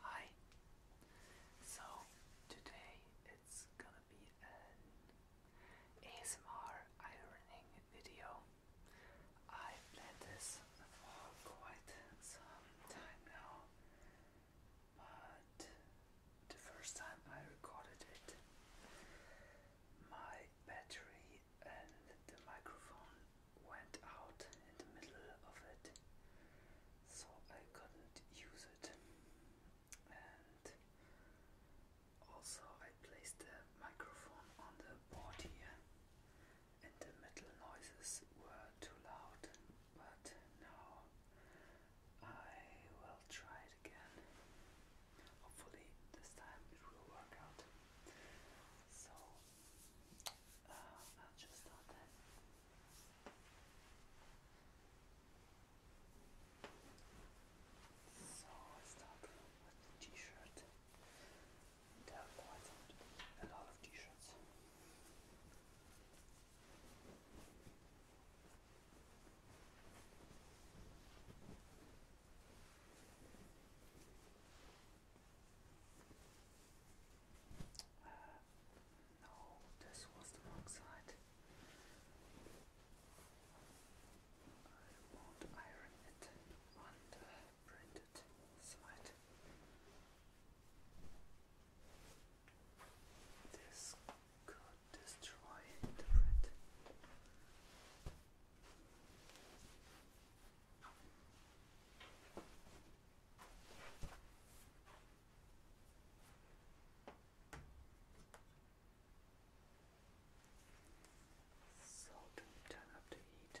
Hi. So today it's gonna be an ASMR ironing video. I planned this for quite some time now, but the first time I recorded it, my battery and the microphone went out in the middle of it, so I couldn't use it. And also, I placed the microphone on the board here, and the metal noises were too loud. But now I will try it again hopefully this time it will work out. So uh, I'll just start then. So start with the t-shirt. There are quite a lot of t-shirts. Uh, no, this was the wrong side. I won't iron it on the printed side. This could destroy the bread. So do up the heat.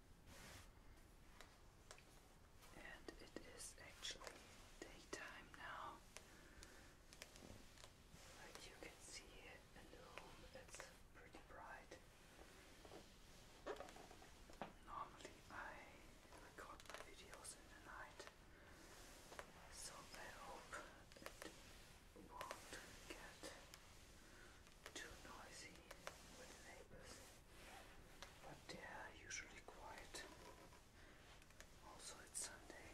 And it is actually daytime now. But you can see the room it's pretty bright. Normally I record my videos in the night. So I hope it won't get too noisy with neighbors, but they are usually quiet. Also, it's Sunday.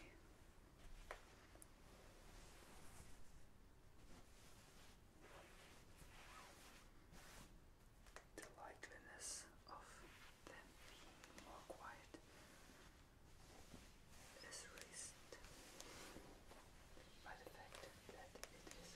The likeliness of them being more quiet is raised by the fact that it is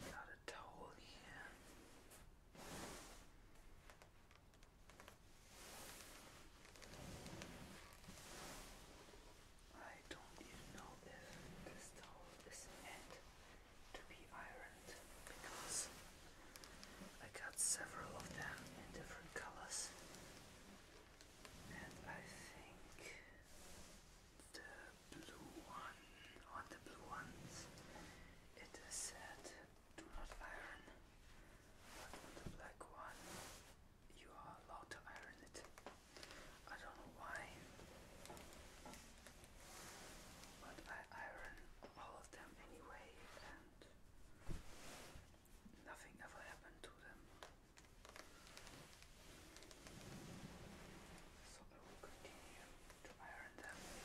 Then I got a towel here. I don't even know if this towel is meant to be ironed because I got several of them in different colors and I think the blue one, on the blue ones, it is said do not iron, but on the black one, you are allowed to iron it. I don't know why, but I iron all of them anyway, and nothing ever happened to them. So I will continue to iron them. Okay.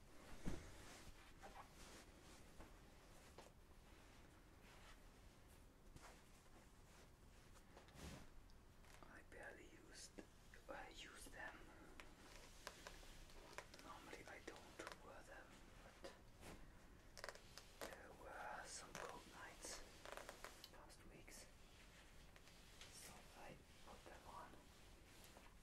I barely use them. Normally I don't wear them, but there were some cold nights past weeks, so I put them on.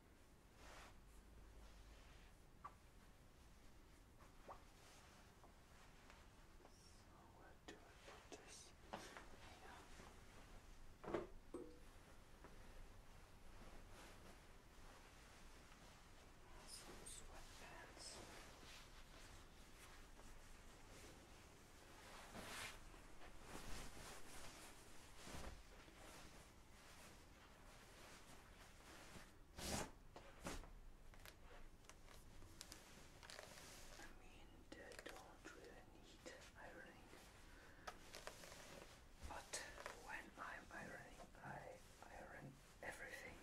So where do I put this? Here. Some sweatpants. Some I mean, they don't really need ironing, but when I'm ironing, I iron everything.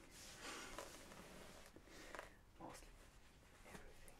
Mostly everything.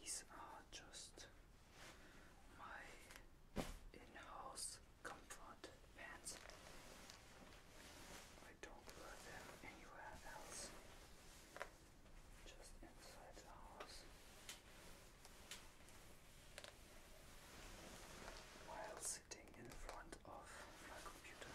These are just my in-house comfort pants. I don't wear them anywhere else just inside the house while sitting in front of my computer.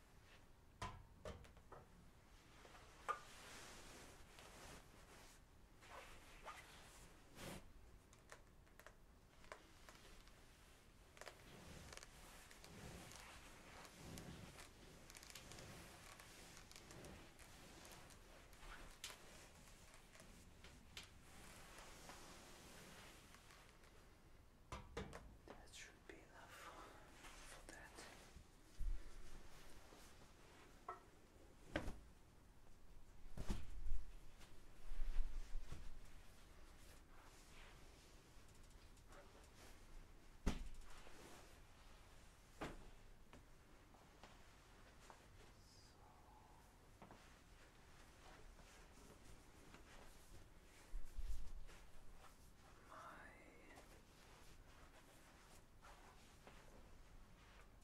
That's true should be enough for that. my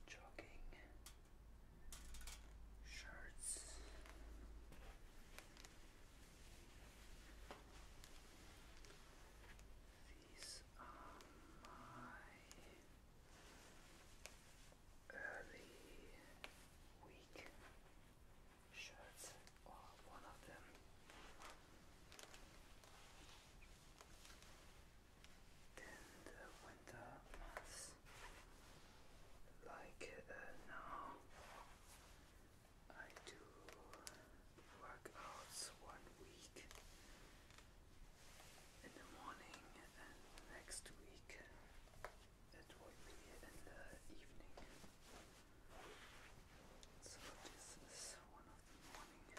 jogging shirts. These are my early week shirts or one of them. Then the winter like uh, now, I do workouts one week in the morning, and next week it will be in the evening. So this is one of the morning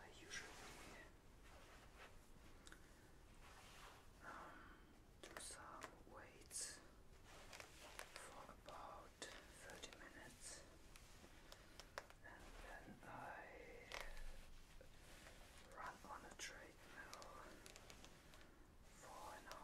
I usually um, do some weights for about 30 minutes and then I run on a treadmill for an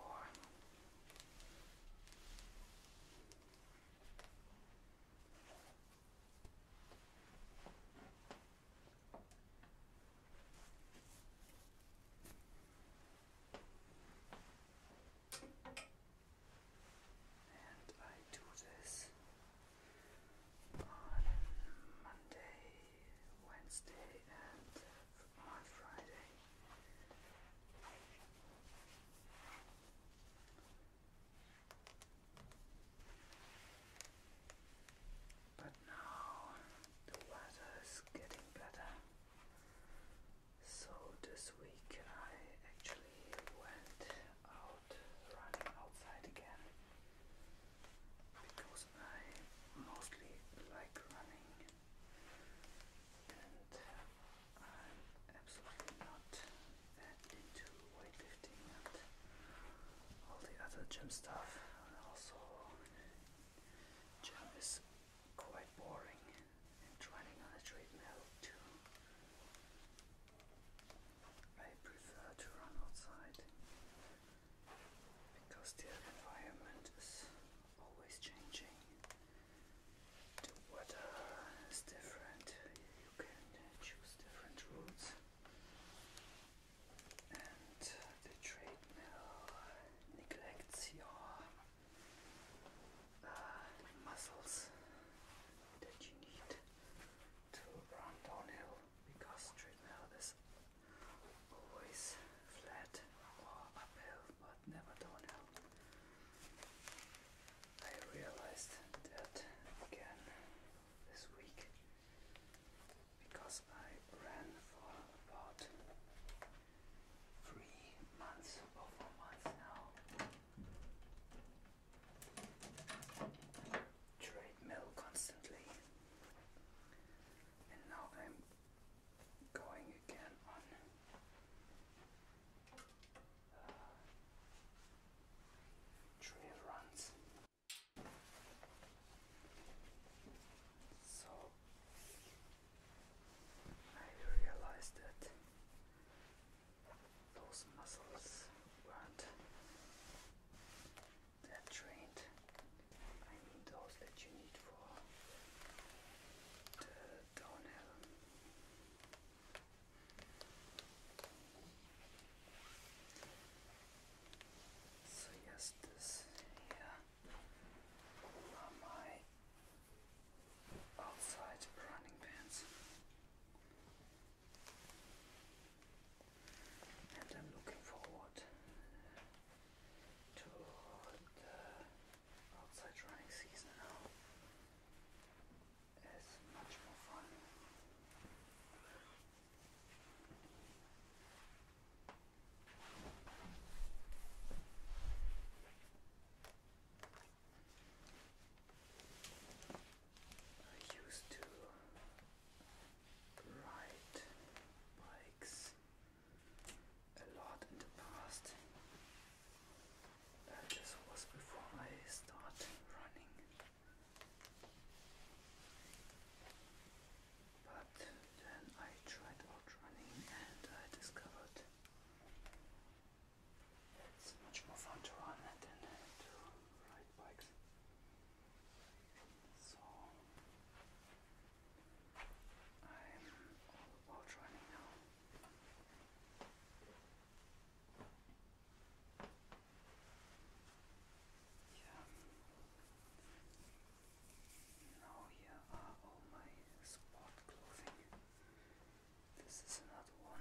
And I do this on Monday Wednesday and on Friday. But now the weather is getting better. So this week I actually went out running outside again I mostly like running and I'm absolutely not into weightlifting and all the other gym stuff also gym is quite boring and running on a treadmill too. I prefer to run outside because the environment is always changing. The weather is different, you can choose different routes. And the trade mill neglects your uh, muscles that you need to run downhill because treadmill is always flat or uphill, but never downhill. I realized that again this week because I ran for about three months or four months now. Treadmill constantly, and now I'm going again on uh, runs. So I realized that those muscles weren't they're trained. I mean those that you need for the downhill. So yes, this here are my outside running pants. And I'm looking forward to the outside running season now is much more fun. I used to ride bikes a lot in the past. this was before I started running. But then I tried out running and I discovered it's much more fun to run than to ride bikes. So I'm all about running now. Yeah. Now here are all my sport clothing. This is another one.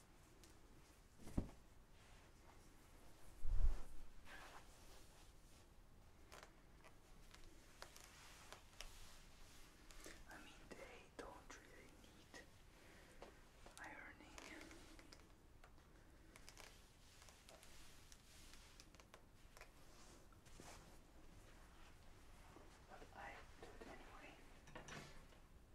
I mean, they don't really need ironing. But I do it anyway. So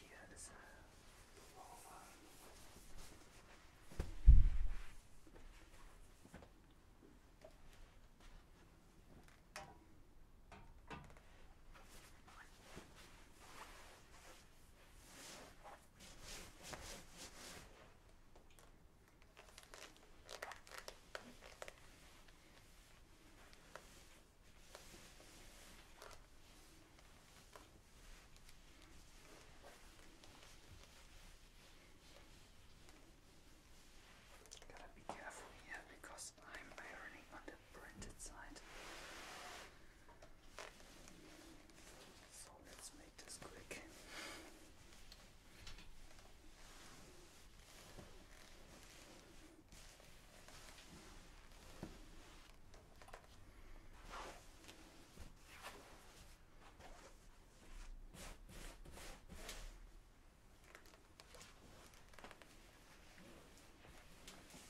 here is a flower. Gotta be careful here because I'm ironing on the printed side. So let's make this quick.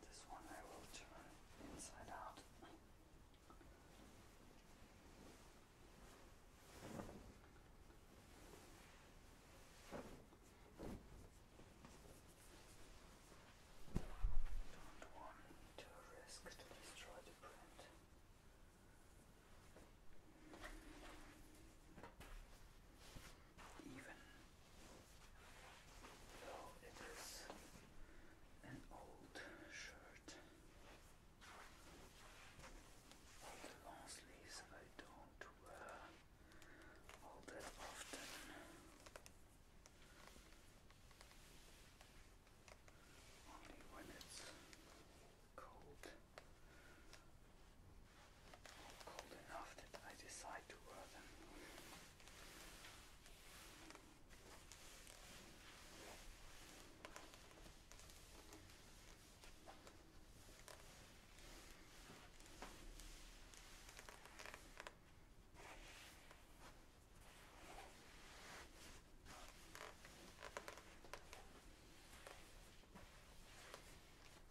this one I will turn inside out. Don't want to risk to destroy the print even though it is an old shirt the long sleeves I don't wear all that often only when it's cold. Cold enough that I decide to wear them.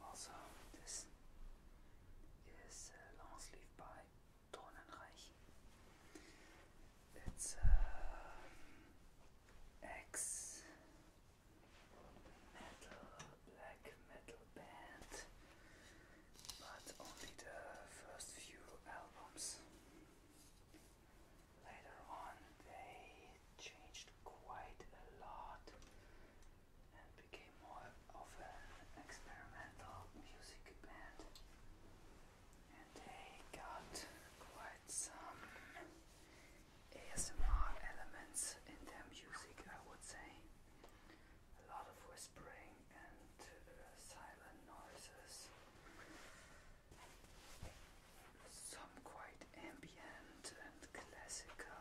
Also, this is a uh, long sleeve by Tonenreich. It's uh, X metal, black metal band, but only the first few albums. Later on, they changed quite a lot and became more of an experimental music band. And they got quite some ASMR elements in their music, I would say. A lot of whispering and uh, silent noises. Some quite ambient and classical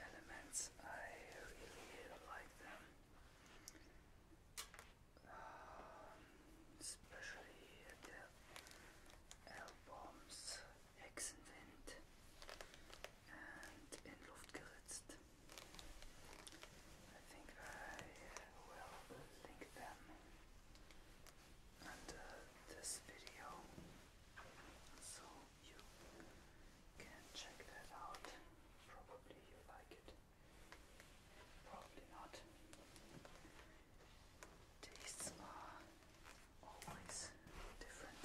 elements. I really like them, um, especially the albums Hexenwind and In Luft I think I will link them under this video. So you can check that out. Probably you like it. Probably not. Tastes are always different.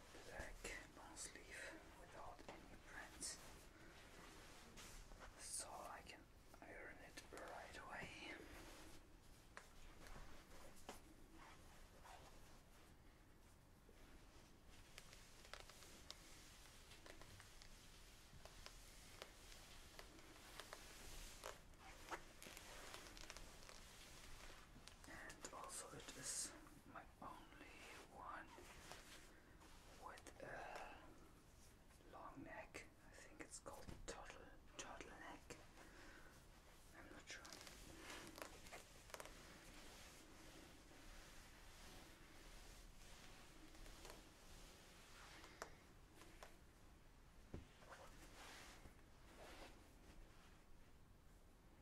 black long sleeve without any prints so I can iron it right away. And also it is my only one with a long neck. I think it's called turtle, turtle neck. I'm not sure.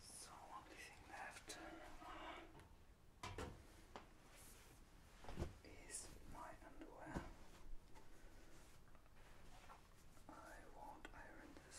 So only thing left uh, is my underwear. I won't iron this.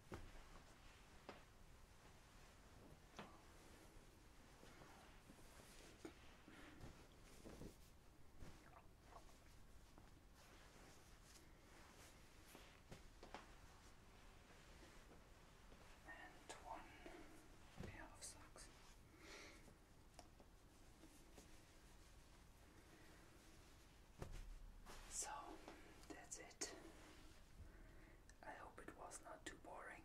and one pair of socks. So that's it. I hope it was not too boring,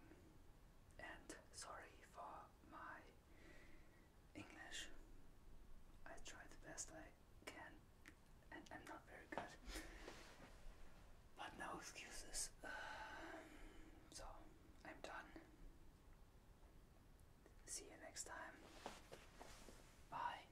and sorry for my English. I try the best I can, and I'm not very good. But no excuses. so, I'm done. See you next time. Bye.